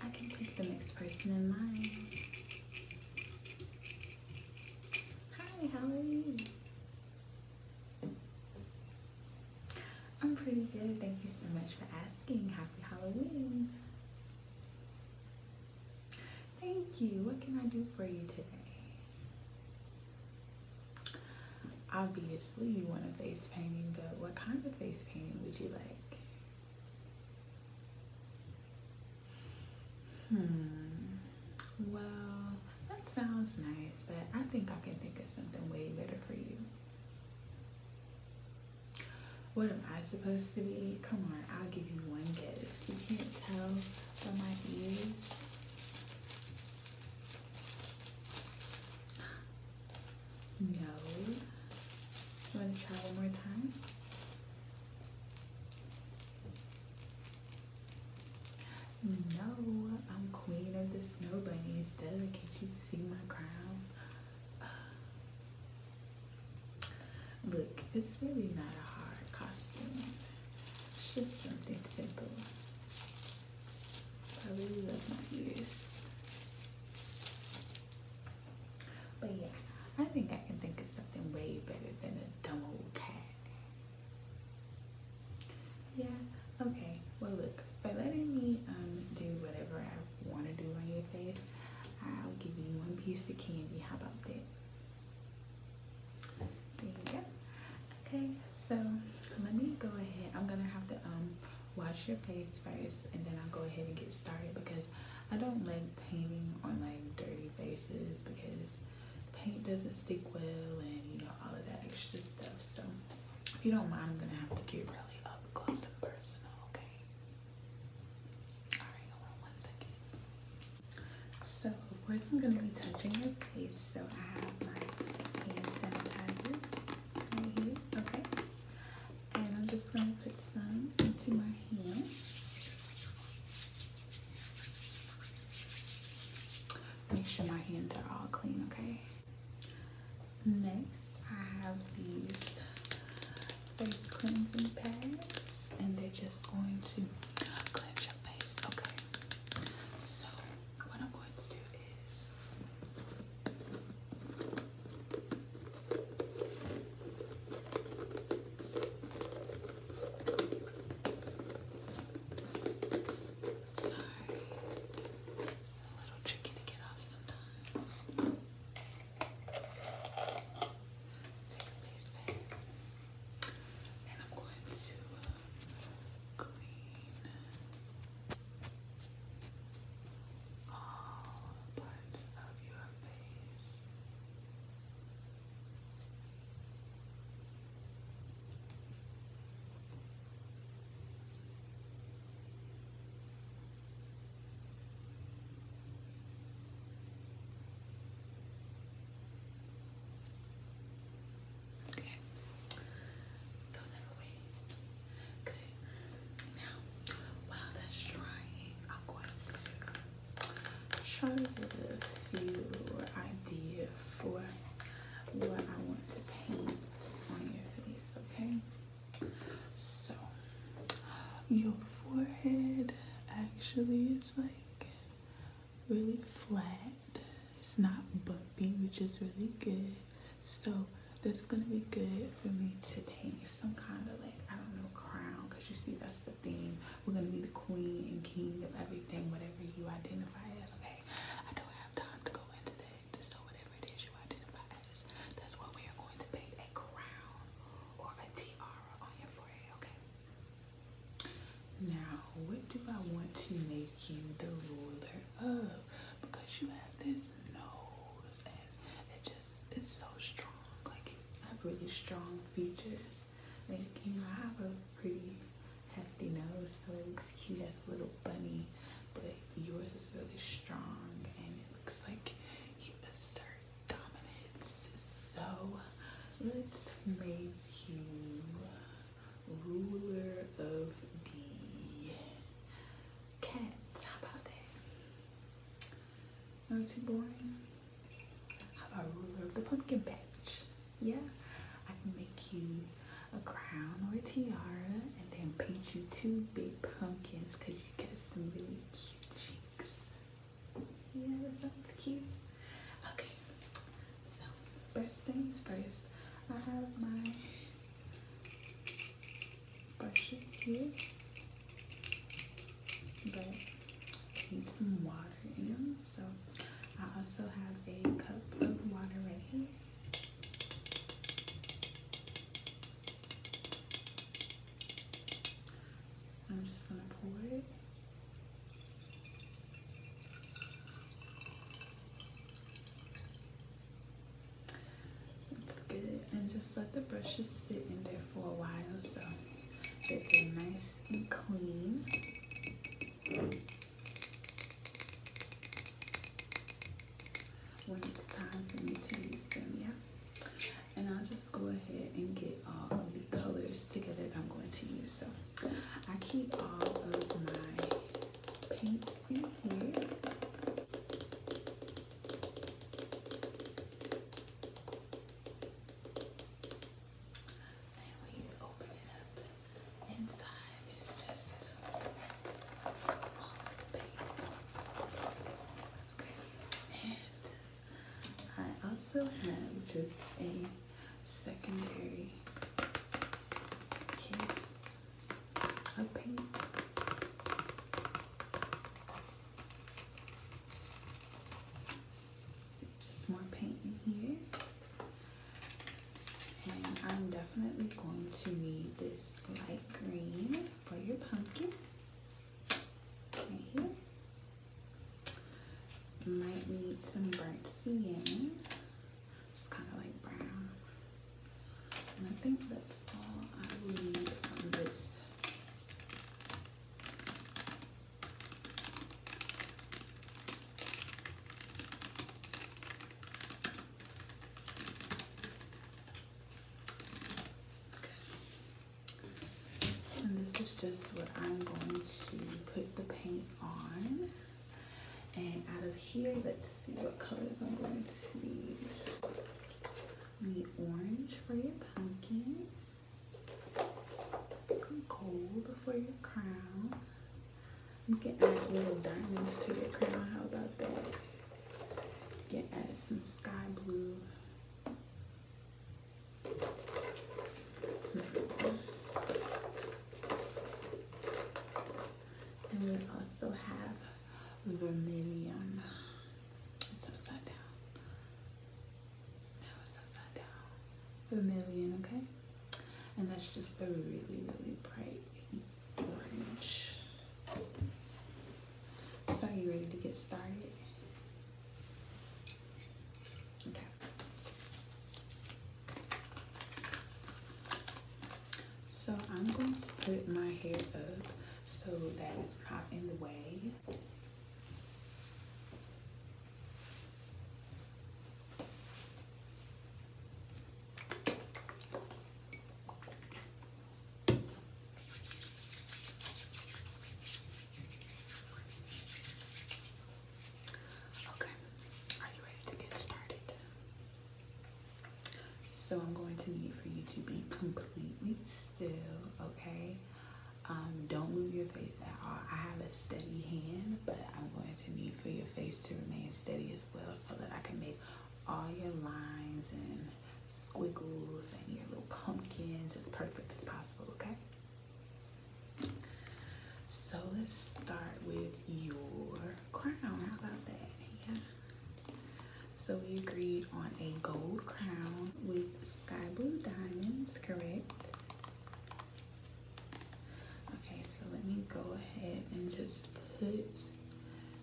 I can take the next person in mind. Hi, how are you? I'm pretty good. Thank you so much for asking. Happy Halloween. Thank you. What can I do for you today? obviously you want a face painting, but what kind of face painting would you like? Hmm. Well, that sounds nice, but I think I can think of something way better for you. What am I supposed to be? Come on, I'll give you one guess. You can't tell from my ears. No. You want to try one more time? No, I'm queen of the snow bunnies. Does can't you see my crown? look, it's really not a hard costume. just something simple. I really love my ears. But yeah, I think I can think of something way better than a dumb old cat. Yeah, okay. Well, look, By letting me um do whatever I want to do on your face, I'll give you one piece of candy. How about that? There you go. Okay, so let me go ahead. I'm gonna have to um wash your face first and then I'll go ahead and get started because I don't like painting on like dirty faces because paint doesn't stick well and you know all of that extra stuff so if you don't mind I'm gonna have to get really up close and personal okay alright hold on one second so of course I'm gonna be touching your face so I have my hand sanitizer okay. And I'm just going to put some into my hands. Make sure my hands are all clean, okay? Next, I have these face cleansing pads, and they're just going to cleanse your face, okay? what I'm going to do is a little tricky to get off sometimes. Take a face back. And I'm going to uh, clean all parts of your face while that's drying, I'm going to try to get a few idea for what I want to paint on your face, okay? So your forehead actually is like really flat. It's not bumpy, which is really good. So this is gonna be good for me to paint some kind of like I don't know crown because you see that's the theme. We're gonna be the queen and king of everything, whatever you identify as. Okay, I don't have time to go into that. So whatever it is you identify as, that's what we are going to paint a crown or a tiara on your forehead. Okay. Now, what do I want to make? make you the ruler of because you have this nose and it just it's so strong. Like you have really strong features. Like you know, I have a pretty hefty nose, so it looks cute as a little bunny, but yours is really strong and it looks like you assert dominance. So let's make you ruler of the cats. How about that? Not too boring. How about ruler of the pumpkin patch? Yeah, I can make you a crown or a tiara and then paint you two big pumpkins because you got some really cute cheeks. Yeah, that sounds cute. Okay, so first things first, I have my brushes here, but I need some water in them. So I also have a cup of water right here. I'm just gonna pour it. It's good. And just let the brushes sit in there for a while so that they're nice and clean. When it's time for me to use them, yeah. And I'll just go ahead and get all of the colors together that I'm going to use. So I keep all of my paints And when you open it up, inside is just all paint. Okay, and I also have just a secondary case of paint. just more paint in here. And I'm definitely going to need this light green for your pumpkin. Right here. Might need some burnt sienna. Just kind of like brown. And I think that's all I need on this. And this is just what I'm going to put the paint on. And out of here, let's see what colors I'm going to need. Need orange for your pumpkin, gold for your crown. You can add little diamonds to your crown. How about that? Get added some sky blue. Hmm. And we also have vermilion. It's upside down. No, it's upside down. Vermilion, okay? And that's just a really, really bright orange. So are you ready to get started? Okay. So I'm going to put my hair up so that it's not in the way. Okay, are you ready to get started? So I'm going to need for you to be completely still, okay? Um, don't move your face at all. I have a steady hand, but I'm going to need for your face to remain steady as well so that I can make all your lines and squiggles and your little pumpkins as perfect as possible, okay? So let's start with your crown. How about that? Yeah. So we agreed on a gold crown with sky blue diamonds, correct? Okay, so let me go ahead and just put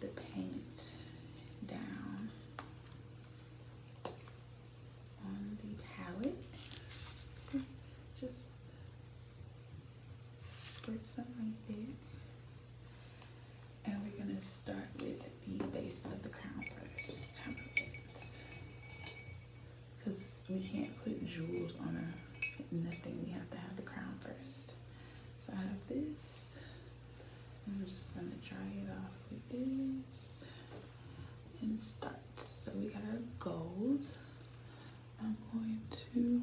the paint down on the palette. Just Put something like that, And we're going to start with the base of the crown first. Because we can't put jewels on a nothing. We have to have the crown first. So I have this. I'm just going to dry it off with this. And start. So we got our gold. I'm going to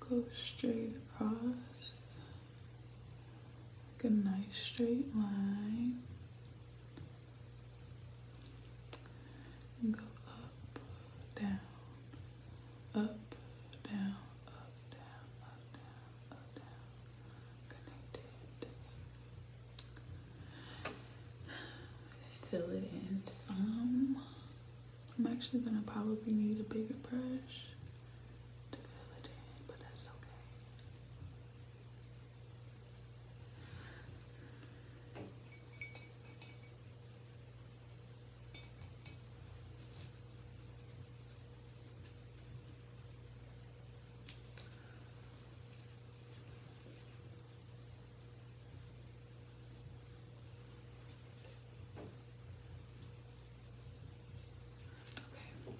go straight across like a nice straight line go up, down, up, down, up, down, up, down, up, down, connected fill it in some. I'm actually gonna probably need a bigger brush to fill it in, but that's okay. Okay,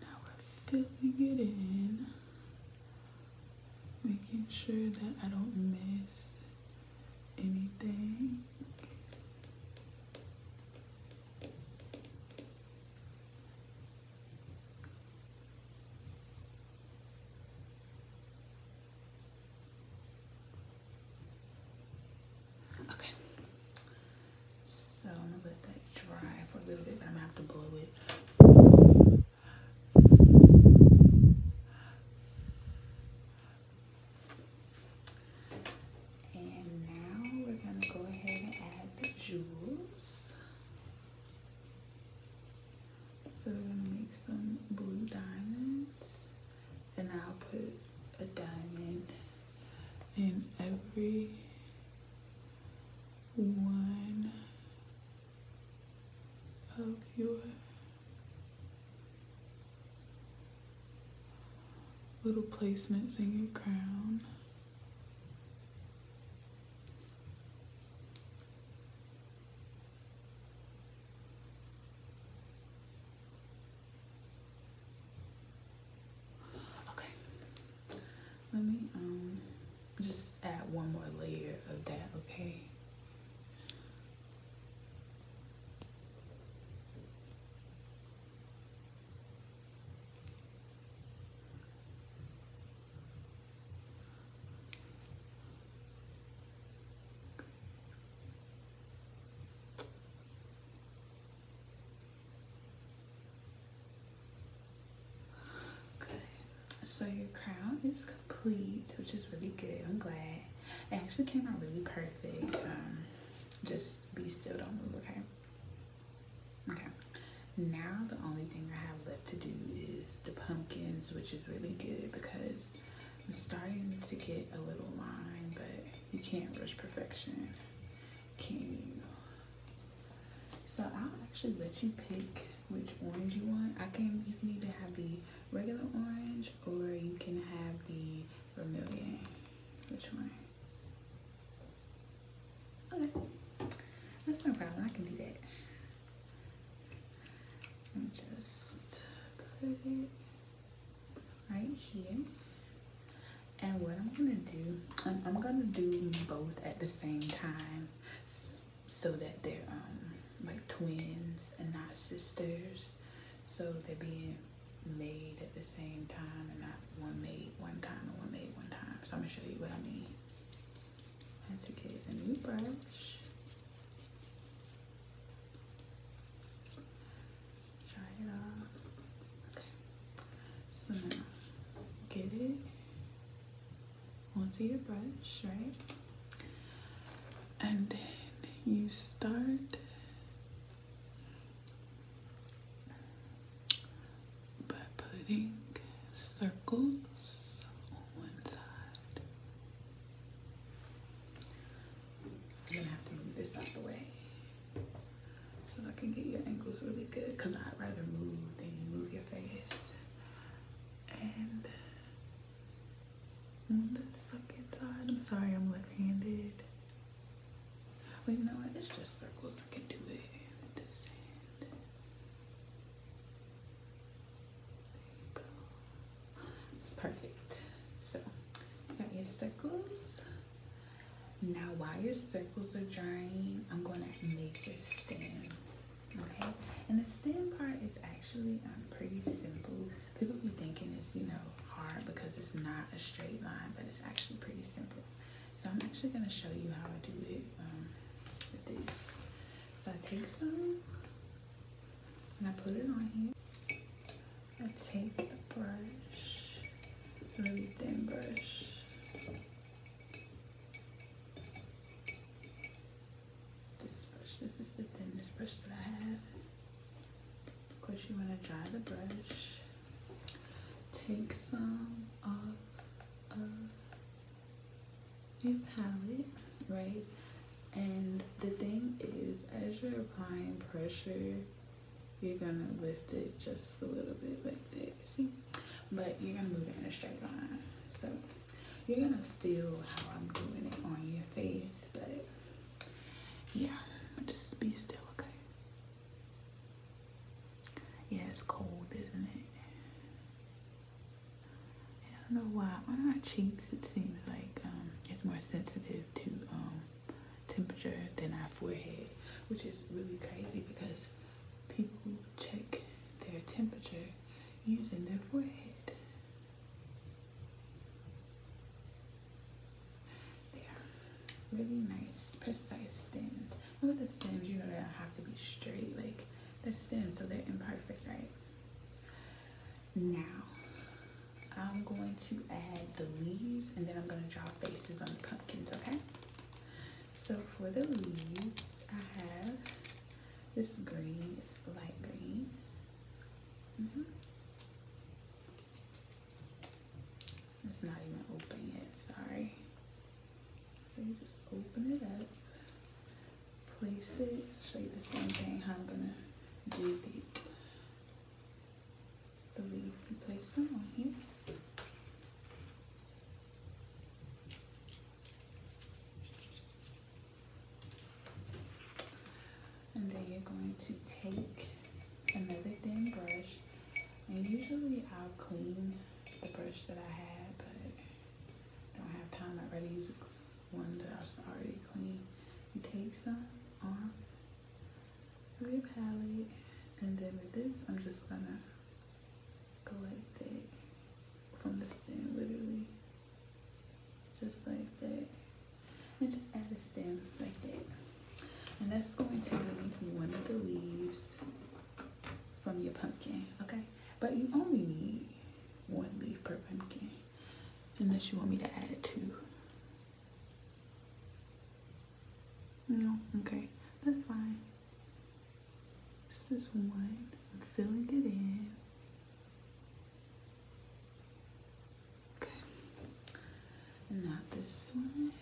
now we're filling it in, making sure that I don't miss anything. Okay. So I'm gonna let that dry for a little bit, I'm gonna have to blow it. And now we're gonna go ahead and add the jewels. So we're gonna make some blue diamonds and I'll put a diamond in every one of your little placements in your crown. Okay, let me um just add one more layer of that, okay? so your crown is complete, which is really good. I'm glad. It actually came out really perfect. Um, just be still, don't move, okay? Okay, now the only thing I have left to do is the pumpkins, which is really good because I'm starting to get a little line, but you can't rush perfection, can you? So I'll actually let you pick which orange you want. I can, you can either have the regular orange or you can have the vermilion. Which one? Okay, that's no problem. I can do that. I'm just put it right here. And what I'm gonna do, I'm, gonna do both at the same time so that they're um, like twins and not sisters. So they're being made at the same time and not one made one time and one made one time. So I'm gonna show you what I mean. I had to get a new brush. Try it out. Okay. So now get it onto your brush, right? And then you start by putting circles on one side. I'm gonna have to move this out the way so I can get your angles really good because I'd rather move than move your face. And on the second side, I'm sorry I'm left-handed. Well, you know what? It's just circles. that can do it. There you go. It's perfect. So, you got your circles. Now, while your circles are drying, I'm going to make your stem. Okay? And the stem part is actually um, pretty simple. People be thinking it's, you know, hard because it's not a straight line, but it's actually pretty simple. So I'm actually going to show you how I do it um, with this. So I take some and I put it on here. I take the brush, really thin brush. This brush, this is the thinnest brush that I have. Of course you want to dry the brush take some off of your palette, right? And the thing is, as you're applying pressure, you're gonna lift it just a little bit like that, see? But you're gonna move it in a straight line. So you're gonna feel how I'm doing it on your face, but yeah, just be still, okay? Yeah, it's cold, isn't it? I don't know why. On our cheeks, it seems like um, it's more sensitive to um, temperature than our forehead, which is really crazy because people check their temperature using their forehead there. Really nice, precise stems. And with the stems, you know they don't have to be straight. Like, they're stems, so they're imperfect, right? Now, I'm going to add the leaves, and then I'm going to draw faces on the pumpkins, okay? So for the leaves, I have this green, it's light green. Mm-hmm. It's not even open yet, sorry. So you just open it up, place it, show you the same thing how I'm gonna do the, the leaf. You place some on here. And then you're going to take another thin brush and usually I'll clean the brush that I had, but I don't have time. I'd rather use one that I already clean. You take some off your palette, and then with this, I'm just gonna go like that from the stem, literally. Just like that. And just add a stem like that. And that's going to be one of the leaves from your pumpkin, okay? But you only need one leaf per pumpkin, unless you want me to add two. No, okay, that's fine. Just this one, I'm filling it in. Okay, and this one.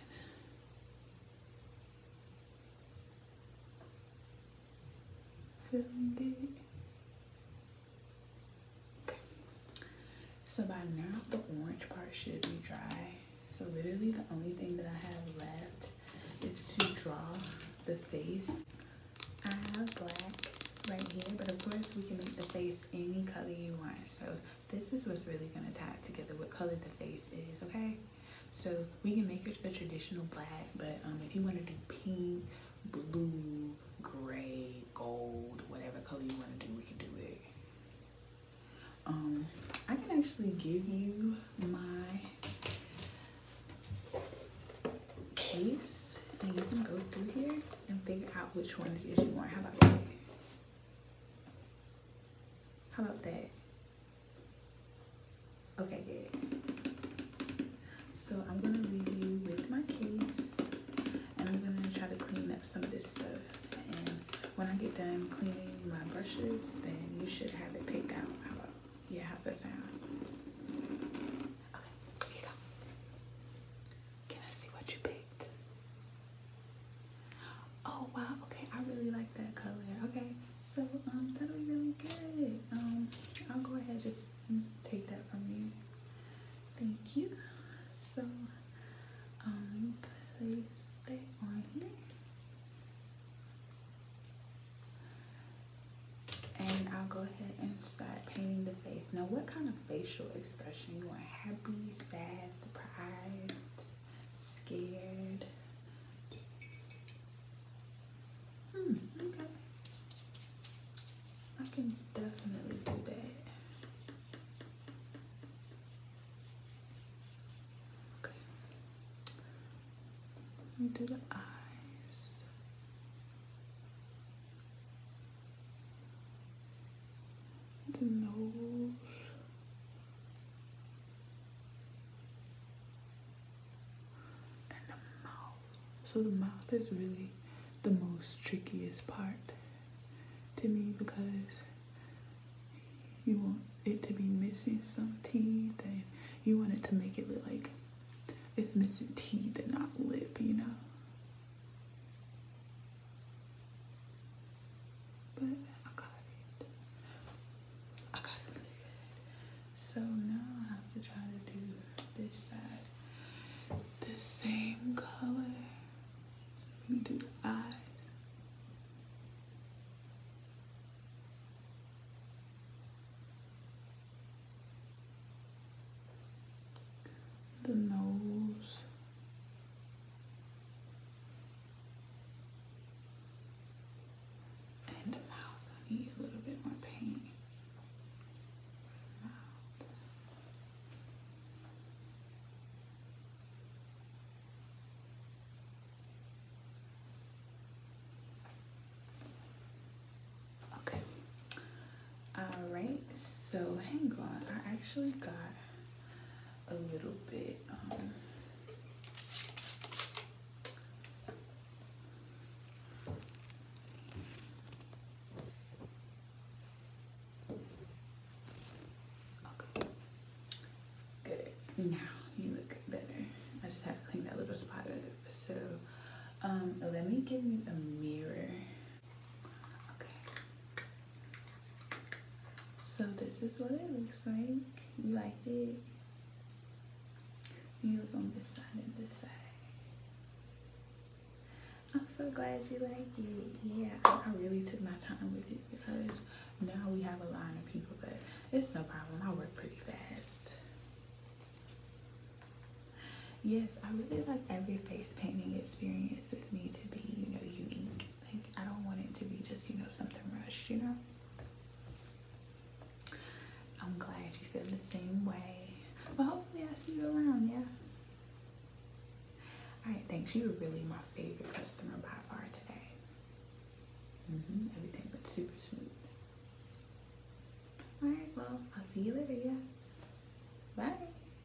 Feeling good? So by now the orange part should be dry. So literally the only thing that I have left is to draw the face. I have black right here, but of course we can make the face any color you want. So this is what's really gonna tie it together, what color the face is, okay? So we can make it a traditional black, but um, if you wanna do pink, blue, gray, gold, whatever color you wanna do, we can do it. Um, I can actually give you my case and you can go through here and figure out which one it is you want. How about that? How about that? Okay, good. So I'm gonna leave you with my case and I'm gonna try to clean up some of this stuff. And when I get done cleaning my brushes, then you should have it picked out. yeah, how's that sound? Okay, here you go. Can I see what you picked? Oh wow, okay, I really like that color. Okay, so um, that'll be really good. Um, I'll go ahead and just take that from you. Thank you. So um place on here. And I'll go ahead and start painting the face. Now what kind of facial expression you want? Happy, sad, surprised, scared. Hmm, okay. I can definitely do that. Okay. do the eyes the nose. And the mouth. So the mouth is really the most trickiest part to me because you want it to be missing some teeth and you want it to make it look like it's missing teeth and not lip, you know? But I got it. I got it So now I have to try to do this side the same color. Let me do the eyes. The nose. And the mouth. I need a little bit more paint. Okay. Alright, so hang on. I actually got a little bit okay. Um, Good. Now you look better. I just have to clean that little spot up. So um, let me give you a mirror Okay. So this is what it looks like. You like it? You look on to side and this I'm so glad you like it. Yeah, I really took my time with it because now we have a line of people, but it's no problem. I work pretty fast. Yes, I really like every face painting experience with me to be, you know, unique. I don't want it to be just, you know, something rushed, you know? I'm glad you feel the same way. Well, hopefully i see you around, yeah? Alright, thanks. You were really my favorite customer by far today. Mm -hmm. Everything was super smooth. Alright, well, I'll see you later, yeah? Bye.